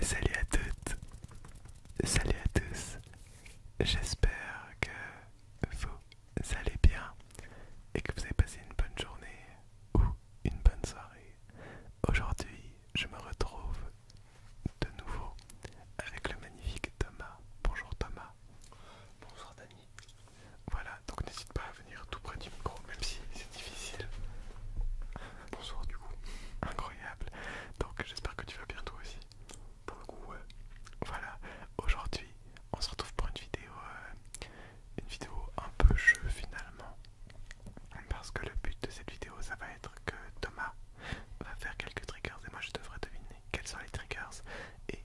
Salut à toutes, salut à tous, j'espère que vous allez bien et que vous avez passé une bonne journée ou une bonne soirée. Aujourd'hui, je me retrouve de nouveau avec le magnifique Thomas. Bonjour Thomas. Bonsoir Dani. Voilà, donc n'hésite pas à venir tout près du micro, même si c'est difficile. Bonsoir du coup. Incroyable. Donc j'espère que tu vas bien toi aussi. Pour Voilà. Aujourd'hui, on se retrouve pour une vidéo, euh, une vidéo un peu jeu finalement. Parce que le but de cette vidéo, ça va être que Thomas va faire quelques triggers et moi je devrais deviner quels sont les triggers. Et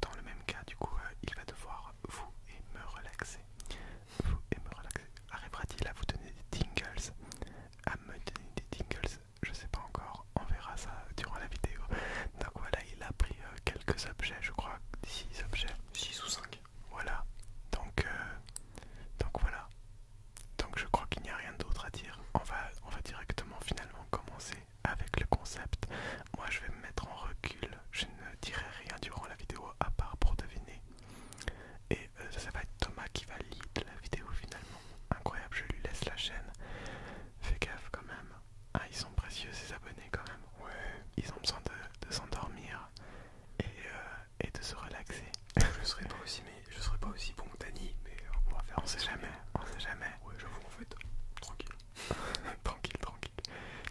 dans le même cas, du coup, euh, il va devoir vous et me relaxer et me relaxer. Arrivera-t-il à vous donner des tingles À me donner des tingles Je sais pas encore, on verra ça durant la vidéo. Donc voilà, il a pris euh, quelques objets, je crois 6 objets. 6 ou 5. Voilà. Donc, euh, donc voilà. Donc je crois qu'il n'y a rien d'autre à dire. on va directement finalement commencer avec le concept. Moi je vais me mettre en recul. Je ne dirai rien durant la vidéo à part pour deviner et euh, ça va être Thomas qui va lire la vidéo finalement. Incroyable, je lui laisse la chaîne. Fais gaffe quand même. Ah, ils sont précieux ces abonnés quand même. Ouais. Ils ont besoin de, s'endormir euh, et, de se relaxer. Je serais pas aussi, mais je serais pas aussi bon que Dani, mais euh, on va faire. sait jamais. On sait jamais. Ouais, vous en fait. Tranquille. tranquille, tranquille.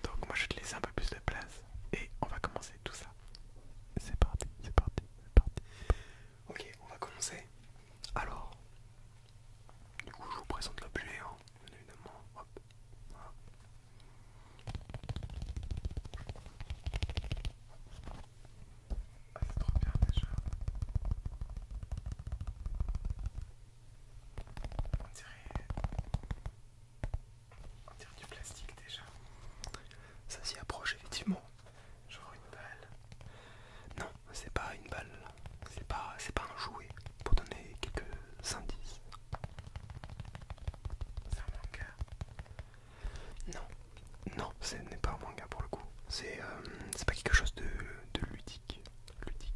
Donc moi je te laisse un peu plus de place et on va commencer tout ça. C'est parti, c'est parti, c'est parti. Ok, on va commencer. Alors, du coup, je vous présente l'objet, hein, évidemment. Hop, Ah, c'est trop bien déjà. On dirait on dirait du plastique déjà. Ça s'y approche effectivement. Genre une balle. Non, c'est pas une balle. C'est pas, pas un jouet. Pour donner quelques indices. C'est un manga. Non, non, ce n'est pas un manga pour le coup. C'est euh, pas quelque chose de, ludique. Ludique.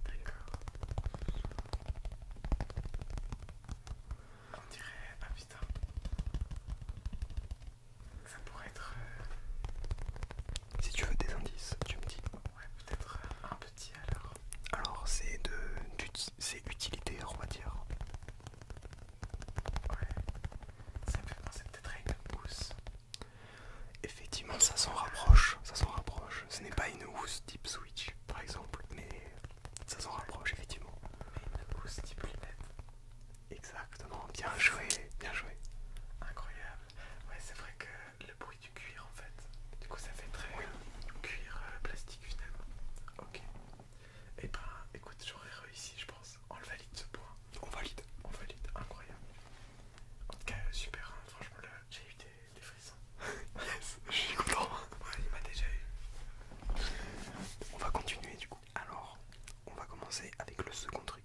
On dirait. Ah putain. Ça pourrait être. Euh, si tu veux des indices, tu me dis. Ouais, peut-être euh, un petit alors. Alors, c'est de. C'est utilitaire, on va dire. Ouais. Ça peut penser peut-être à une housse. Effectivement, ça s'en rapproche. Ça s'en rapproche. Ce n'est pas une housse type sous par exemple, mais ça s'en rapproche effectivement. Mais une pousse Exactement, bien joué, bien joué. Incroyable. Ouais, c'est vrai que le bruit du cuir en fait, du coup ça fait très euh, cuir euh, plastique finalement. Ok. Et eh ben écoute, j'aurais réussi je pense. On le valide ce point. On valide. On valide, incroyable. En tout cas, super, hein. franchement, j'ai eu je suis content. Ouais, il m'a déjà eu. On va continuer du coup. Alors, on va commencer avec le second trigger.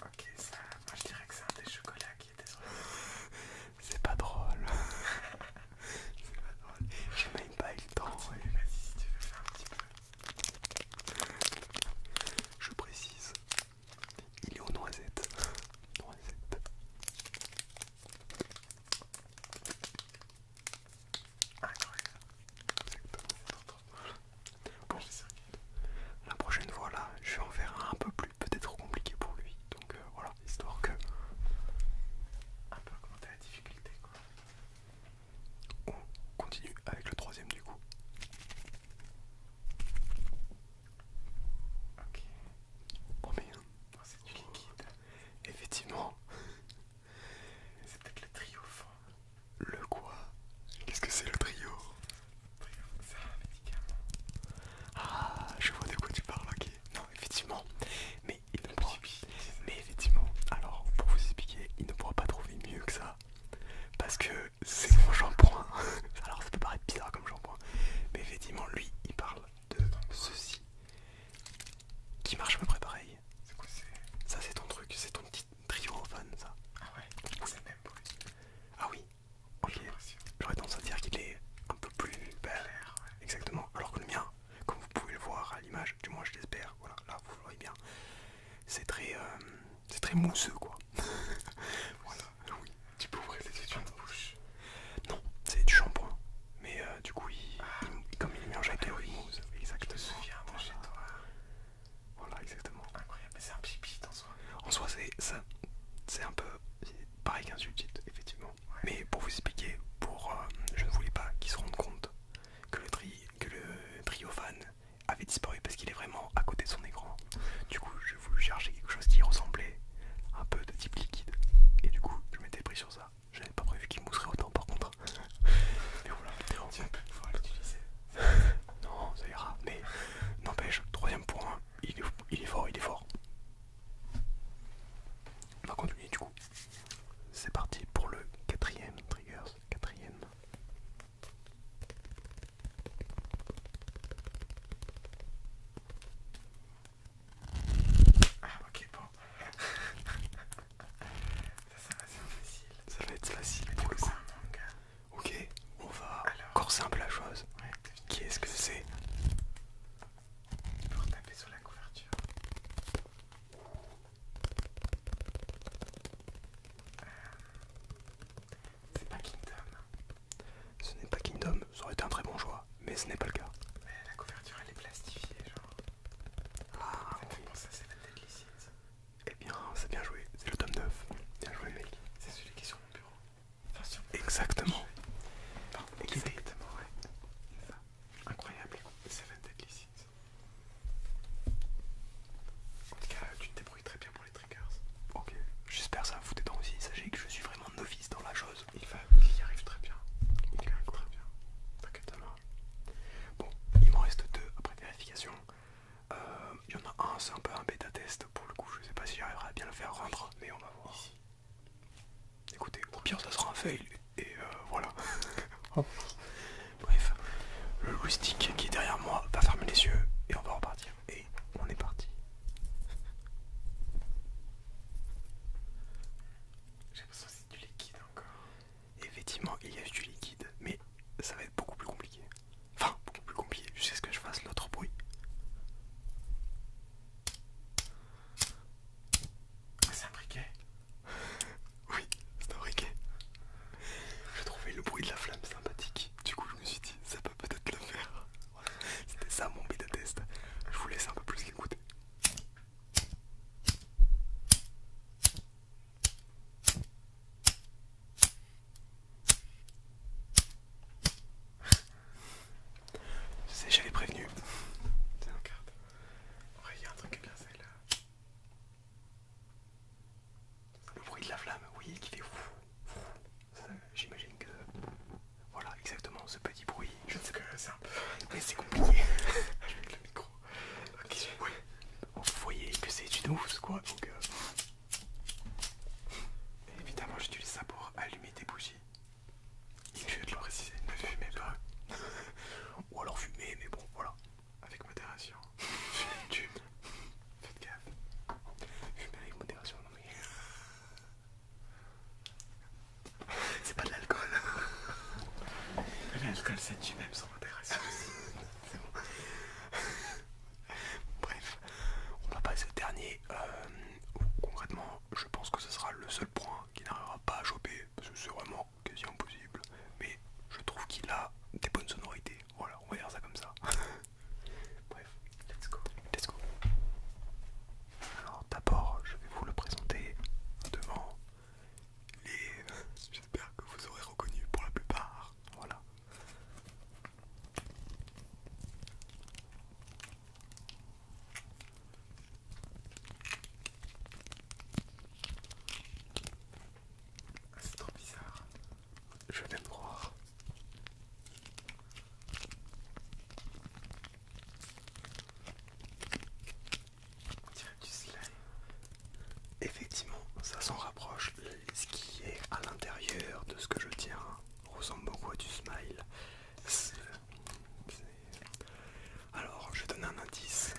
Ok, ça, moi je dirais que c'est un des chocolats qui était sur C'est pas drôle. c'est pas drôle. J'ai même pas eu le temps. Vas-y, si tu veux faire un petit peu. Je précise il est aux noisettes. la prochaine fois là, je vais en faire un, peu plus peut-être compliqué pour lui. Donc euh, voilà, histoire que... Un peu augmenter la difficulté On continue avec le troisième du coup. Ok. Combien oh, hein. oh, C'est du liquide. Effectivement. C'est peut-être le trio. Le quoi Qu'est-ce que c'est le trio Le trio, c'est un médicament. Ah, je vois de quoi tu parles, ok. Non, effectivement. Mais il Mais effectivement, alors pour vous expliquer, il ne pourra pas trouver mieux que ça. Parce que c'est mon shampoing. Alors ça peut paraître bizarre comme shampoing, mais effectivement lui il parle de ceci qui marche à peu près pareil. C'est quoi Ça c'est ton truc, c'est ton petit trio ça. Ah ouais, c'est le même Ah oui, ok. J'aurais tendance à dire qu'il est un peu plus bel. Exactement. Alors que le mien, comme vous pouvez le voir à l'image, du moins je l'espère, voilà, là vous le voyez bien, c'est très, euh, C'est très mousseux quoi. voilà, oui. Tu peux ouvrir les études bouche. Non, c'est du shampoing. Mais euh, du coup, ah. comme il est mélangé avec oui, mousse. Exactement. souviens, voilà. chez toi. Voilà, exactement. Incroyable, Mais c'est un pipi en soi. En soi, c'est un peu pareil qu'un sulfite, effectivement. Mais pour vous expliquer, pour, euh, je ne voulais pas qu'ils se rendent compte que le, tri, que le avait disparu parce qu'il est vraiment à côté de son écran. Du coup, je voulais chercher quelque chose qui ressemblait un peu de type liquide. Et du coup, je m'étais pris sur ça. j'avais pas prévu qu'il mousserait autant par contre. Mais voilà, l'utiliser. non, ça ira. Mais n'empêche, troisième point, il est, il est fort, il est fort. On va continuer du coup. C'est parti pour le quatrième trigger Quatrième ah, ok, bon. ça, ça va être facile. Ça va être facile ah, Ok, on va encore simple la chose. Qui est-ce que c'est Pour taper sur la couverture c'est pas Kingdom. Ce n'est pas Kingdom, ça aurait été un très bon choix, mais ce n'est pas le cas. la couverture elle est plastifiée, genre. Ah, ça c'est penser à Seven Deadly Eh bien, c'est bien joué, c'est le tome 9. Bien joué, mec. C'est celui qui est sur mon bureau. Enfin, sur Exactement. exactement, ouais. C'est ça. Incroyable. Seven Deadly Sins. En tout cas, tu te débrouilles très bien pour les triggers. Ok, j'espère ça vous détend aussi. Sachez que je suis vraiment novice dans la chose. Il, y arrive très bien. Il y arrive très bien. T'inquiète, ça Bon, il m'en reste deux après vérification. Euh, il y en a un, c'est un peu un bêta test pour le coup. Je sais pas si j'arriverai à bien le faire rendre, mais on va voir. Écoutez, au pire, ça sera un fail et euh, voilà. Oh. Bref, le loustic qui est derrière moi va fermer les yeux et on va repartir. Et on est parti. J'ai l'impression que c'est du liquide encore. Effectivement, il y a du liquide, mais ça va être beaucoup plus compliqué. Enfin, beaucoup plus compliqué jusqu'à ce que je fasse l'autre bruit. C'est un oui, c'est un briquet. J'ai trouvé le bruit de la flamme sympathique. Du coup, je me suis dit, ça peut peut-être le faire. C'était ça mon bêta test. Je vous laisse un peu plus l'écouter. Je sais, j'avais prévenu. C'est un Ouais, il y a un truc bien celle-là. Le bruit de la flamme, oui, qui fait ouf. J'imagine que. Voilà, exactement ce petit bruit. Je sais que c'est un peu. Mais c'est compliqué je avec le micro. Ok, Vous voyez que c'est une ouf, quoi. Donc, euh. Évidemment, j'utilise ça pour allumer des bougies. Il te le préciser, ne fumez pas. Ou alors fumez, mais bon, voilà. Avec modération. Fumez Faites gaffe. Fumez avec modération, non mais. C'est pas de l'alcool. L'alcool, c'est du même sans modération C'est Bref, on va passer au dernier. Euh, concrètement, je pense que ce sera le seul point qui n'arrivera pas à choper parce que c'est vraiment quasi impossible, mais je trouve qu'il a des bonnes sonorités. Voilà, on va dire ça comme ça. Bref, let's go. Let's go. Alors d'abord, je vais vous le présenter devant les... J'espère que vous aurez reconnu pour la plupart. Voilà. Ah, c'est trop bizarre. Je vais même croire. On du slime. Effectivement, ça s'en rapproche. Ce qui est à l'intérieur de ce que je tiens ressemble beaucoup du smile. Alors, je vais donner un indice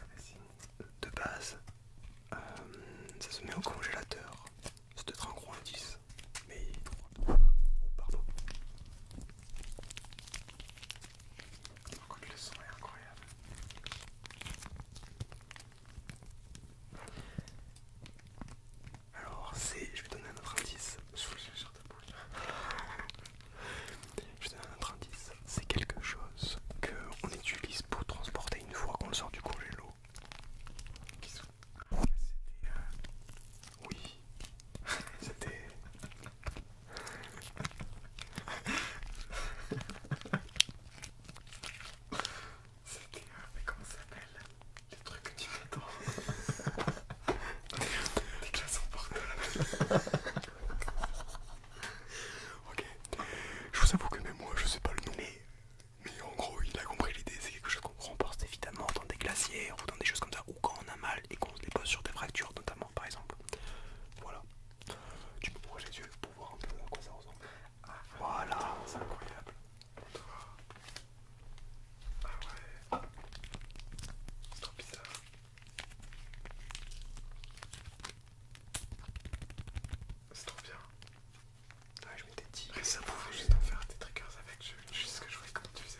de base. Euh, ça se met au congélateur. C'est peut-être un gros indice, mais oh, pardon. le son incroyable. Alors, c'est. Je vais donner un autre indice. Je donne un autre C'est quelque chose qu'on utilise pour transporter une fois qu'on le sort du congélo. C'était... Euh, oui. C'était... C'était... Mais comment ça s'appelle des trucs que tu m'attends. partout à la ok. Je vous avoue que même moi je sais pas le nom. Mais, en gros il a compris l'idée, c'est quelque chose qu'on remporte évidemment dans des glaciers ou dans des choses comme ça, ou quand on a mal et qu'on se dépose sur des fractures notamment par exemple. Voilà. Tu peux projeter les yeux pour voir un peu à quoi ça ressemble. Ah. voilà, c'est incroyable. Ah ouais. C'est trop bizarre. C'est trop bien. Ouais, je m'étais dit. Et ça pouvait juste en faire des triggers avec. Je, sais ce que je voulais comme tu faisais.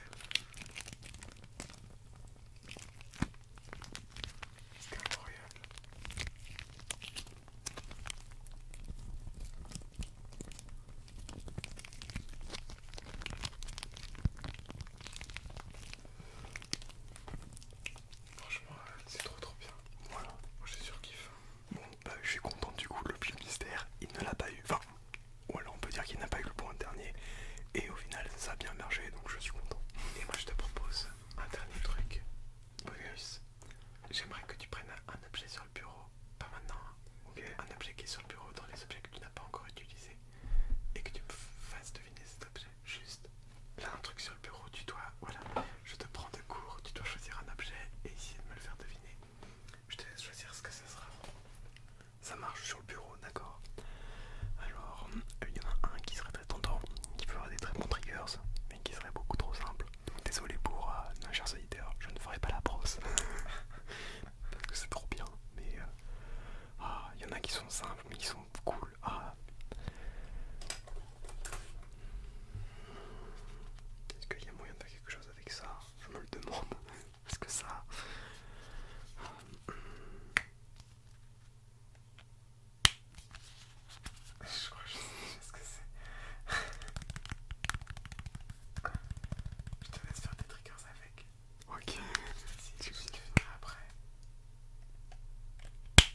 C'était incroyable. Franchement, c'est trop trop bien. Voilà, moi j'ai Bon, bah je suis content du coup, le plus mystère, il ne l'a pas eu. Enfin, ou alors on peut dire qu'il n'a pas eu le point dernier. Et au final, ça a bien mergé donc je suis content. Et moi je te propose un dernier truc. Bonus. J'aimerais que tu prennes un objet sur le bureau pas maintenant, hein. ok un objet qui est sur le bureau dans les objets que tu n'as pas encore utilisé et que tu me fasses deviner cet objet. Juste là, un truc sur le bureau, tu dois, voilà, je te prends de court, tu dois choisir un objet et essayer de me le faire deviner. Je te laisse choisir ce que ça sera. Ça marche sur le bureau, d'accord Alors, euh, il y en a un qui serait très tentant, qui avoir des très bons triggers, mais qui serait beaucoup trop simple. désolé pour un euh, cher je ne ferai pas la brosse. parce que c'est trop bien. Mais il euh, ah, y en a qui sont simples, mais qui sont cool. Ah. Est-ce qu'il y a moyen de faire quelque chose avec ça Je me le demande. Parce que ça. Euh, je crois je sais ce que c'est. Je te laisse faire des triggers avec. Ok. Si tu venir après. Ah,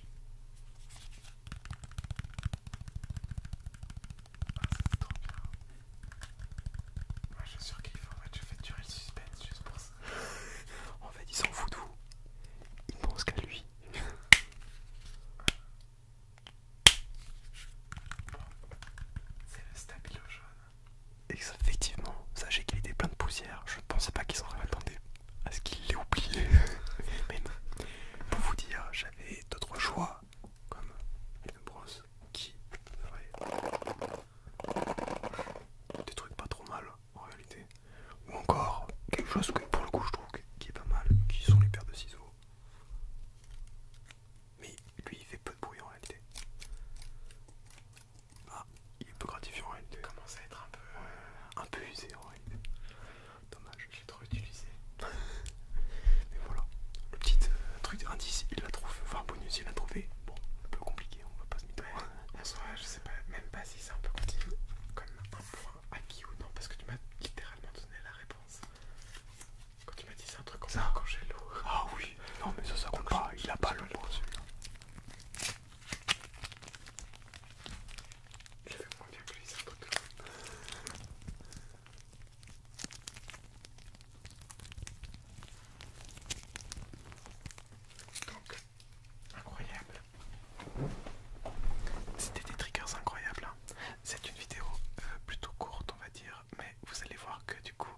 ça c'est trop bien. Moi je suis sûr qu'il faut en fait, je fais durer le suspense juste pour ça. en fait, il s'en fout de vous. Il pense qu'à lui. Ah. C'est le stabilo jaune. effectivement, sachez qu'il était plein de poussière. Je ne pensais pas qu'ils auraient attendu À ce qu'il l'ait oublié. Mais Pour vous dire, j'avais d'autres choix, comme une brosse qui ferait des trucs pas trop mal en réalité. Ou encore quelque chose que pour le coup je trouve qui est pas mal, qui sont les paires de ciseaux. Mais lui il fait peu de bruit en réalité. Ah, il est peu gratifiant en réalité. Il commence à être un peu... un peu usé en réalité. Dommage. J'ai trop utilisé. Mais voilà. Le petit euh, truc indice, il l'a trouvé. Enfin bonus, il l'a trouvé. Bon, un peu compliqué, on va pas se mettre En soi, je sais pas, même pas si c'est un peu compliqué. Comme un point acquis ou non, parce que tu m'as littéralement donné la réponse. Quand tu m'as dit c'est un truc comme ça, quand j'ai l'eau. Ah oui, non mais ça, ça compte pas, il a pas le pot celui-là. fait moins bien que lui, c'est un truc Donc, incroyable. C'était des triggers incroyables. Hein. C'est une vidéo euh, plutôt courte, on va dire, mais vous allez voir que du coup,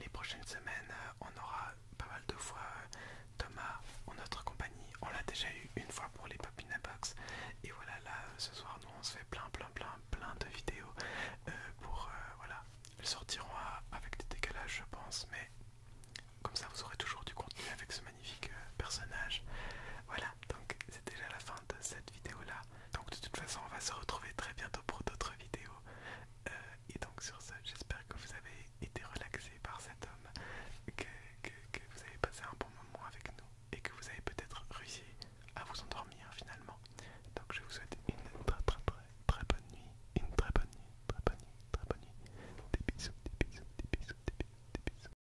les prochaines semaines, euh, on aura pas mal de fois euh, Thomas en notre compagnie. On l'a déjà eu une fois pour les Popina Box. Et voilà, là, ce soir, nous, on se fait plein, plein, plein, plein de vidéos pour, voilà, elles sortiront avec des décalages, je pense, mais comme ça, vous aurez toujours du contenu avec ce magnifique euh, personnage. Voilà, donc c'est déjà la fin de cette vidéo là. Donc de toute façon, on va se retrouver très bientôt pour d'autres vidéos. Euh, et donc sur ce, j'espère que vous avez été relaxé par cet homme, que, vous avez passé un bon moment avec nous et que vous avez peut-être réussi à vous endormir finalement. Donc je vous souhaite une très très très très bonne nuit, une très bonne nuit, très bonne nuit, très bonne nuit. des bisous, des bisous, des bisous, des bisous.